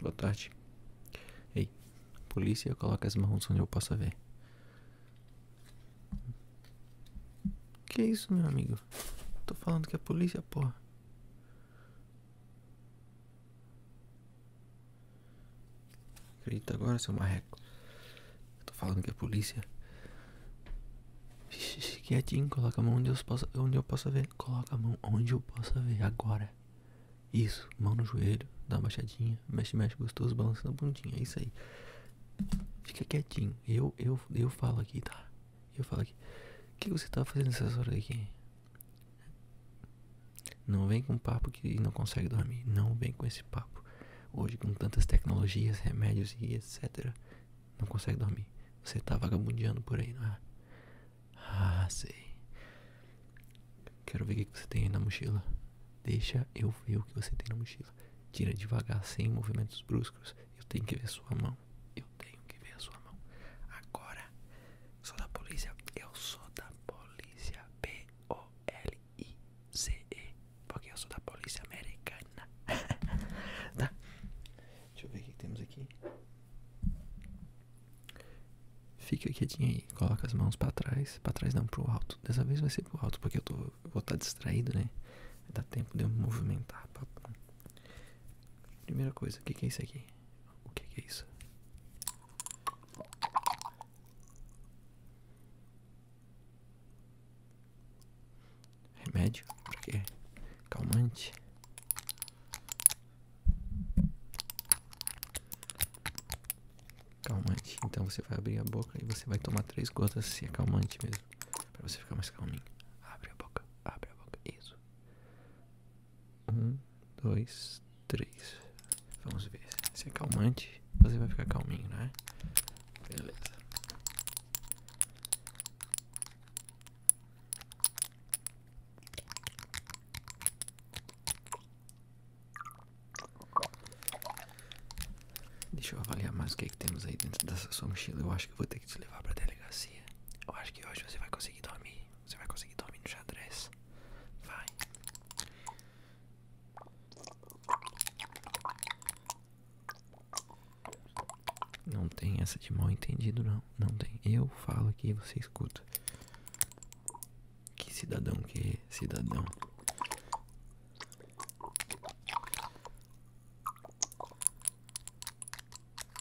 Boa tarde. Ei, polícia, coloca as mãos onde eu possa ver. Que isso, meu amigo? Tô falando que é polícia, porra. Acredita agora, seu marreco? Eu tô falando que é polícia. Vixe, quietinho, coloca a mão onde eu, possa, onde eu possa ver. Coloca a mão onde eu possa ver, agora. Isso, mão no joelho, dá uma baixadinha, mexe, mexe gostoso, balançando a bundinha, é isso aí. Fica quietinho, eu, eu, eu falo aqui, tá? Eu falo aqui. O que você tá fazendo nessas horas aqui? Não vem com papo que não consegue dormir. Não vem com esse papo. Hoje, com tantas tecnologias, remédios e etc., não consegue dormir. Você tá vagabundando por aí, não é? Ah, sei. Quero ver o que você tem aí na mochila. Deixa eu ver o que você tem na mochila. Tira devagar, sem movimentos bruscos. Eu tenho que ver sua mão. Eu tenho que ver a sua mão. Agora. Sou da polícia, eu sou da polícia P-O-L-I-C-E Porque eu sou da polícia americana Tá, deixa eu ver o que temos aqui Fica quietinho aí, coloca as mãos pra trás Pra trás não, pro alto Dessa vez vai ser pro alto, porque eu, tô, vou estar tá distraído, né Dá tempo de eu movimentar Primeira coisa, o que é isso aqui? O que é isso? Remédio? porque quê? Calmante? Calmante. Então você vai abrir a boca e você vai tomar três gotas se é calmante mesmo. Pra você ficar mais calminho. Abre a boca, abre a boca. Isso. Um, dois, três. Vamos ver. Se é calmante, você vai ficar calminho, né? Beleza. Deixa eu avaliar mais o que, é que temos aí dentro dessa sua mochila. Eu acho que vou ter que te levar pra delegacia. Eu acho que hoje você vai conseguir dormir. Você vai conseguir dormir no xadrez. Vai. Não tem essa de mal entendido, não. Não tem. Eu falo aqui e você escuta. Que cidadão que é cidadão.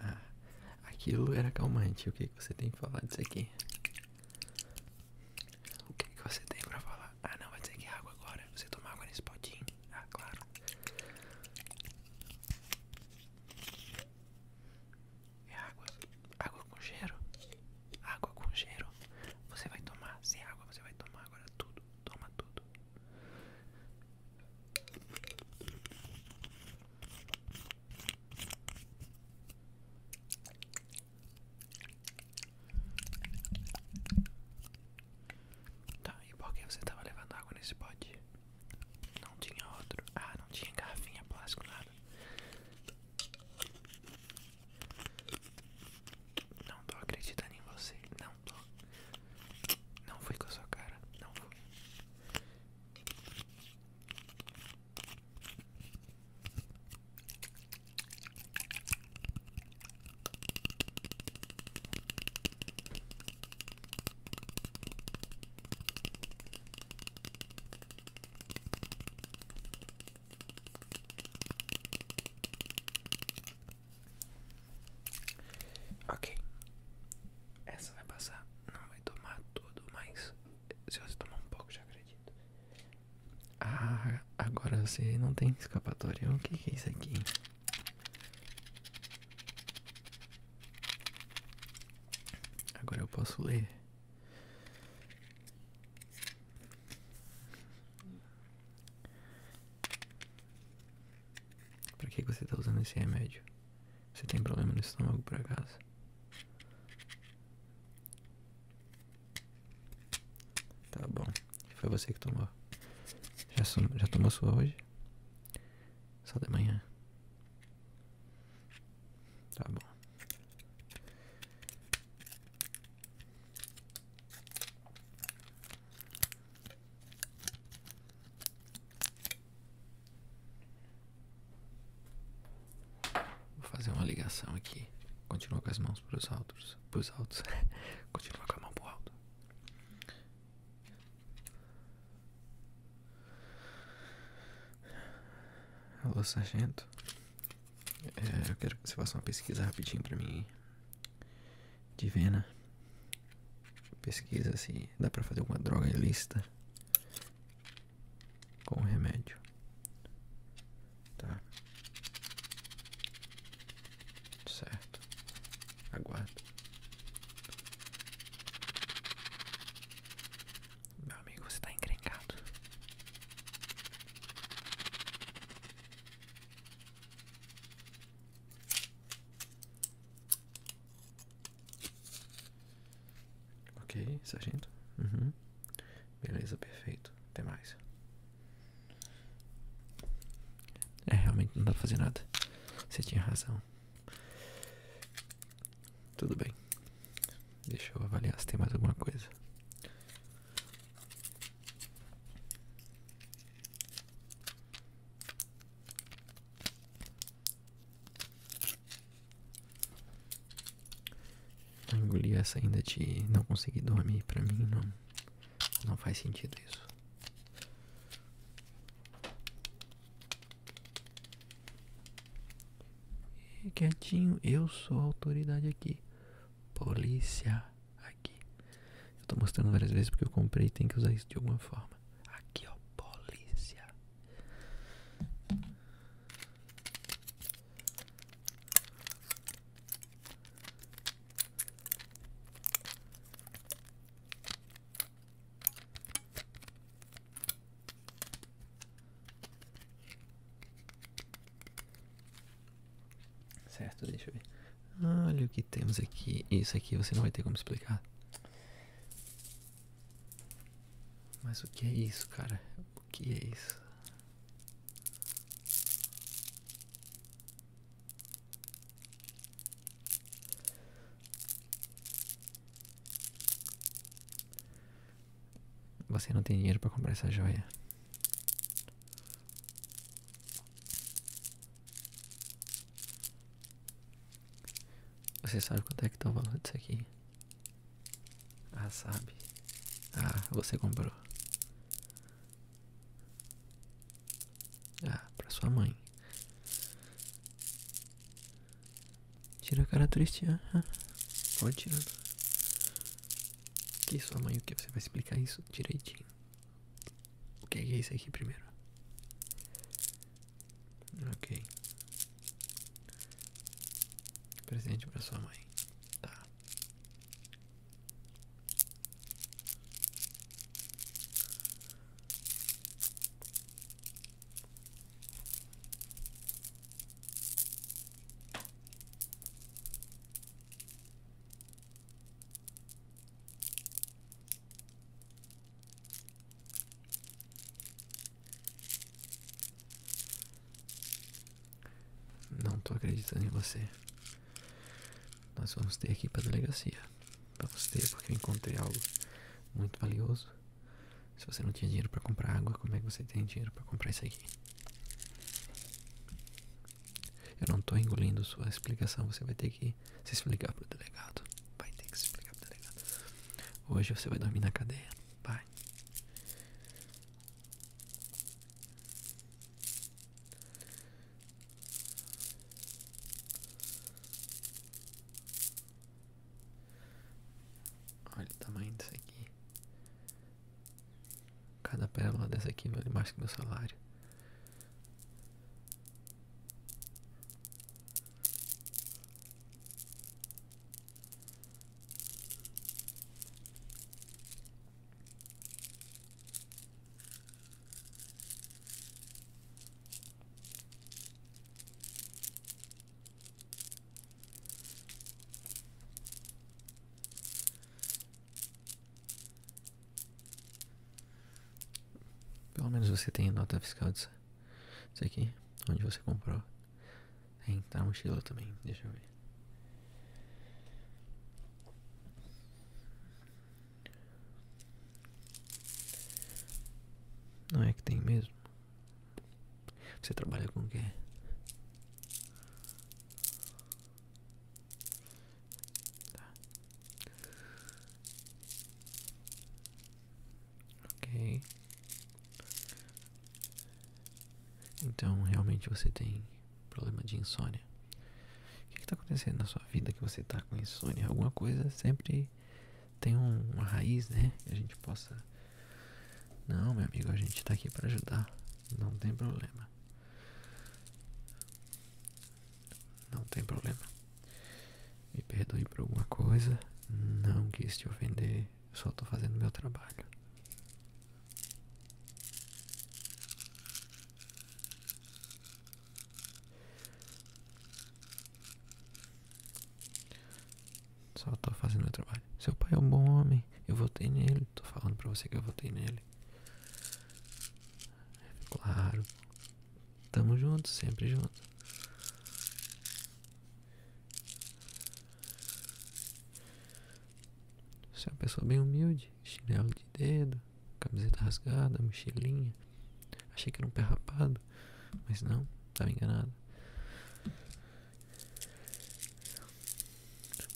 Ah, aquilo era calmante. O que, você tem pra falar disso aqui? O que, você tem pra falar? Ah, não, vai dizer que é água agora. Você toma água nesse potinho? Ah, claro. É água. Água com cheiro? Água com cheiro. Você vai tomar. Sem água, você vai tomar agora tudo toma tudo. Tá, e por que você tava levando água nesse pote? Não tinha outro. Ah, não tinha garrafinha plástico, nada. Não tô acreditando em você. Não pronto. Não fui com a sua cara, não fui. Ok. Essa vai passar. Não vai tomar tudo, mas se você tomar um pouco, já acredito. Ah, agora você não tem escapatória. O que é isso aqui? Agora eu posso ler. Pra que você tá usando esse remédio? Você tem problema no estômago por casa? Tá bom, foi você que tomou. Já, já tomou sua hoje? Só de manhã. Tá bom. Vou fazer uma ligação aqui. Continua com as mãos para os altos. Pros altos. Continua com a mão pro alto. Alô, sargento. É, eu quero que você faça uma pesquisa rapidinho pra mim. De Vena. Pesquisa se assim, dá pra fazer alguma droga ilícita com remédio. Tá. Certo. Aguardo. Meu amigo, você tá encrencado. Ok, sargento. Uhum. Beleza, perfeito. Até mais. É, realmente não dá pra fazer nada. Você tinha razão. Tudo bem. Deixa eu avaliar se tem mais alguma coisa. Engolir essa ainda de não conseguir dormir pra mim não, não faz sentido isso. E quietinho, eu sou a autoridade aqui polícia aqui. Eu estou mostrando várias vezes porque eu comprei tem que usar isso de alguma forma. Aqui ó, polícia. Certo, deixa eu ver. Olha o que temos aqui. Isso aqui você não vai ter como explicar. Mas o que é isso, cara? O que é isso? Você não tem dinheiro para comprar essa joia. Você sabe quanto é que tá o valor disso aqui? Ah, sabe. Ah, você comprou. Ah, pra sua mãe. Tira a cara triste. Ah, pode tirar. Que sua mãe, o que? Você vai explicar isso direitinho. O que é, é isso aqui primeiro? Ok. Presente para sua mãe. Tá. Não estou acreditando em você. Nós vamos ter aqui para a delegacia. Para você, porque eu encontrei algo muito valioso. Se você não tinha dinheiro para comprar água, como é que você tem dinheiro para comprar isso aqui? Eu não tô engolindo sua explicação. Você vai ter que se explicar pro delegado. Vai ter que se explicar pro delegado. Hoje você vai dormir na cadeia. Vai. Olha o tamanho disso aqui. Cada pérola dessa aqui vale mais que meu salário. Pelo menos você tem a nota fiscal disso, disso aqui, onde você comprou. Tem, tá mochila também, deixa eu ver. Não é que tem mesmo? Você trabalha com o quê? Tá. Ok. Então realmente você tem problema de insônia. O que está acontecendo na sua vida que você está com insônia? Alguma coisa sempre tem uma raiz, né? Que a gente possa não, meu amigo, a gente tá aqui para ajudar. Não tem problema. Não tem problema. Me perdoe por alguma coisa. Não quis te ofender. Eu só tô fazendo meu trabalho. Só tô fazendo meu trabalho. Seu pai é um bom homem. Eu votei nele. Tô falando pra você que eu votei nele. Claro. Tamo junto, sempre junto. Você é uma pessoa bem humilde. Chinelo de dedo, camiseta rasgada, mochilinha. Achei que era um pé rapado, mas não, tava enganado.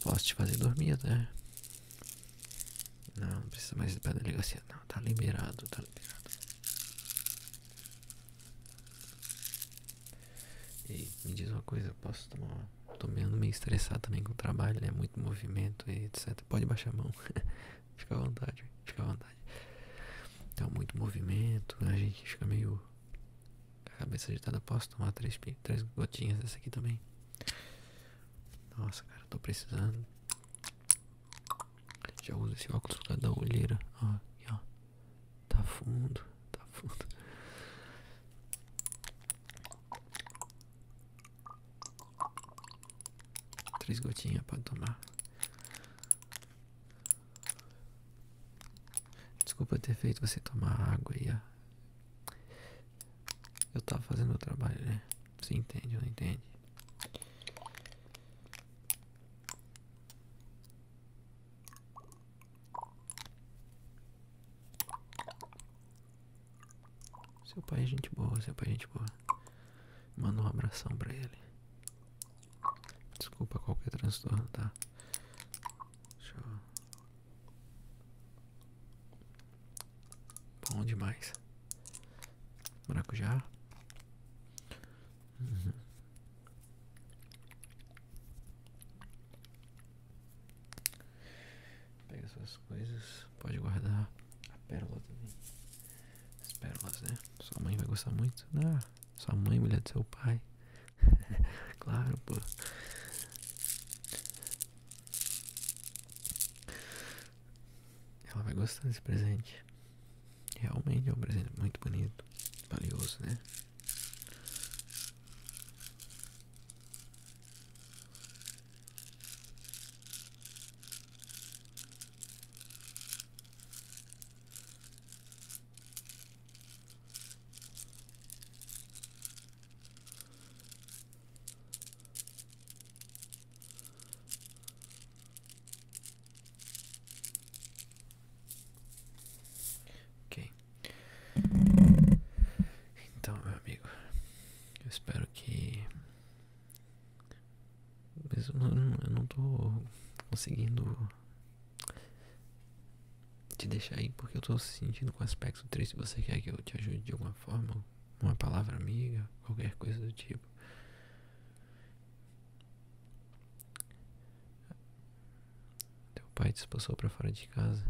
Posso te fazer dormir, né? Não, não precisa mais ir pra delegacia. Não, tá liberado, tá liberado. me diz uma coisa, eu posso tomar uma... Tô meio, estressado também com o trabalho, né? Muito movimento e etc. Pode baixar a mão. fica à vontade, fica à vontade. Então, muito movimento, a gente fica meio Cabeça agitada, posso tomar três, gotinhas dessa aqui também? Nossa, cara, tô precisando. Já uso esse óculos por causa da olheira. Ó, Tá fundo, tá fundo. Três gotinhas pra tomar. Desculpa ter feito você tomar água e a... Eu tava fazendo o trabalho, né? Você entende ou não entende? Seu pai é gente boa, seu pai é gente boa. Manda um abração pra ele. Desculpa qualquer transtorno, tá? Deixa eu... Bom demais. Maracujá. já uhum. Pega suas coisas. Pode guardar a pérola também. As pérolas, né? Sua mãe vai gostar muito. Ah. Sua mãe, mulher do seu pai. claro, pô. Ela vai gostar desse presente. Realmente é um presente muito bonito. Valioso, né? Ok. Então, meu amigo, eu espero que mas eu não, tô conseguindo te deixar aí porque eu tô sentindo com um aspecto triste. Você quer que eu te ajude de alguma forma? Uma palavra amiga, qualquer coisa do tipo. Teu pai te expulsou pra fora de casa.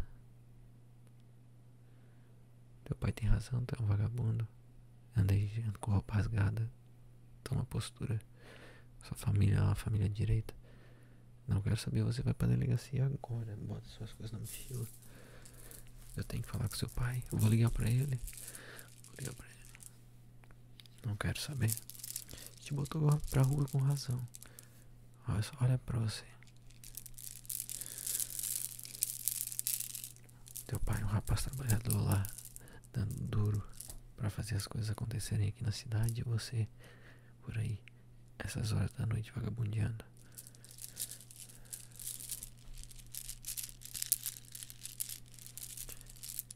Teu pai tem razão, tu é um vagabundo andei com roupa rasgada, tô numa postura, sua família é uma família direita, não quero saber, você vai pra delegacia agora, bota suas coisas na mochila, eu tenho que falar com seu pai, eu vou ligar pra ele, vou ligar pra ele, não quero saber, te botou pra rua com razão, olha, olha pra você. Teu pai é um rapaz trabalhador lá dando duro para fazer as coisas acontecerem aqui na cidade e é você por aí essas horas da noite vagabundando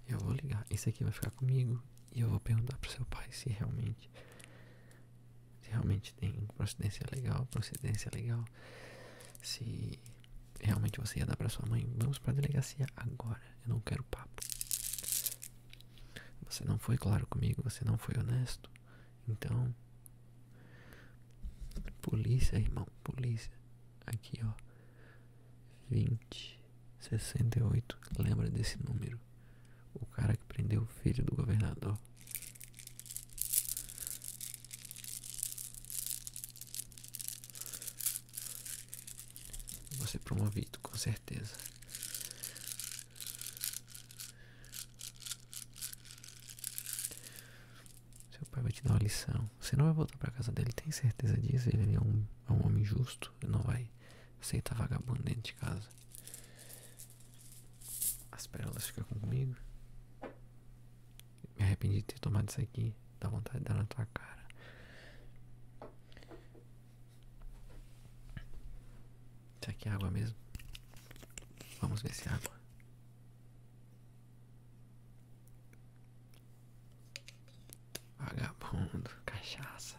Eu vou ligar, esse aqui vai ficar comigo e eu vou perguntar pro seu pai se realmente se realmente tem procedência legal, procedência legal, se realmente você ia dar para sua mãe, vamos para a delegacia agora. Eu não quero papo. Você não foi claro comigo, você não foi honesto. Então, polícia, irmão, polícia. Aqui, ó. 20 68. Lembra desse número? O cara que prendeu o filho do governador. Eu vou ser promovido, com certeza. Seu pai vai te dar uma lição. Você não vai voltar para casa dele, tem certeza disso? Ele é, é um, homem justo, ele não vai aceitar vagabundo dentro de casa. As pérolas ficam comigo. Me arrependi de ter tomado isso aqui. Dá vontade de dar na tua cara. Isso aqui é água mesmo? Vamos ver se é água. Vagabundo, cachaça.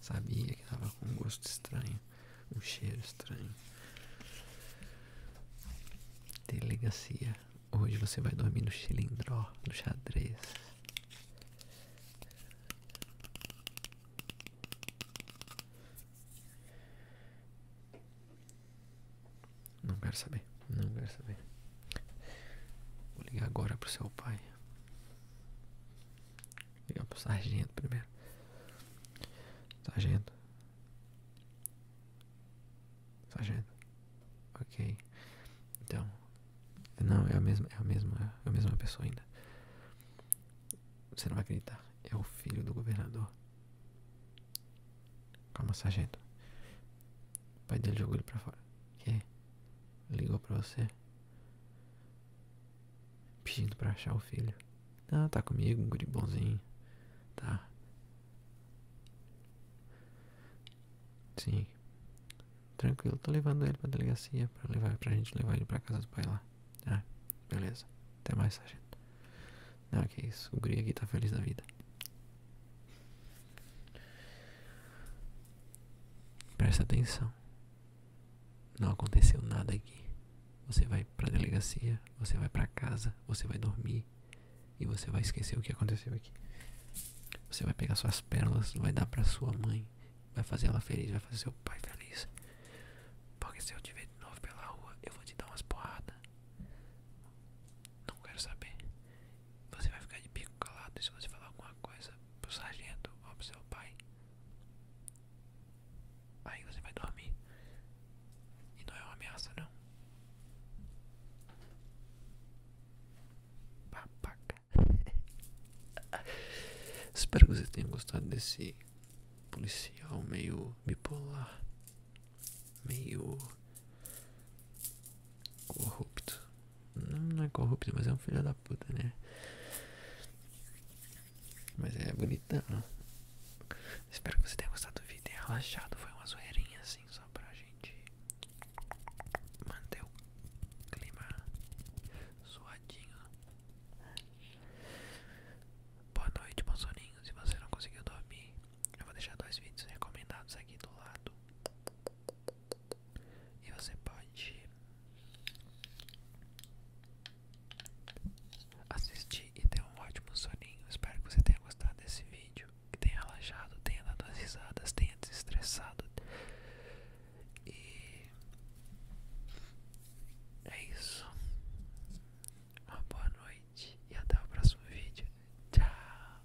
Sabia que tava com um gosto estranho, um cheiro estranho. Delegacia. Hoje você vai dormir no cilindro, no xadrez. Não quero saber, não quero saber. Vou ligar agora pro seu pai. Vou ligar pro sargento primeiro. Sargento sargento. Ok. Então, não, é a mesma, é a mesma, é a mesma pessoa ainda. Você não vai acreditar. É o filho do governador. Calma, sargento. pai dele jogou ele pra fora. Que? Ligou pra você? Pedindo pra achar o filho. Ah, tá comigo, um guri bonzinho. Tá. Sim. Tranquilo, tô levando ele pra delegacia pra levar pra gente levar ele pra casa do pai lá. Ah, beleza. Até mais, sargento. Não, que isso. O Gri aqui tá feliz da vida. Presta atenção. Não aconteceu nada aqui. Você vai pra delegacia, você vai pra casa, você vai dormir. E você vai esquecer o que aconteceu aqui. Você vai pegar suas pérolas, vai dar pra sua mãe, vai fazer ela feliz, vai fazer seu pai feliz. Porque se eu te ver de novo pela rua, eu vou te dar umas porradas. Não quero saber. Você vai ficar de bico calado e se você falar alguma coisa pro sargento ou pro seu pai. Aí você vai dormir. E não é uma ameaça não. Babaca. Espero que você tenha gostado desse policial meio bipolar, meio corrupto. Não, é corrupto, mas é um filho da puta, né? Mas é bonitão. Espero que você tenha gostado do vídeo. relaxado, foi uma zoeirinha assim só pra gente manter o clima suadinho. Boa noite, bons soninhos Se você não conseguiu dormir, eu vou deixar dois vídeos recomendados aqui do lado. E você pode assistir e ter um ótimo soninho. Espero que você tenha gostado desse vídeo que tenha relaxado, tenha dado as risadas, tenha desestressado. E é isso. Uma boa noite e até o próximo vídeo. Tchau!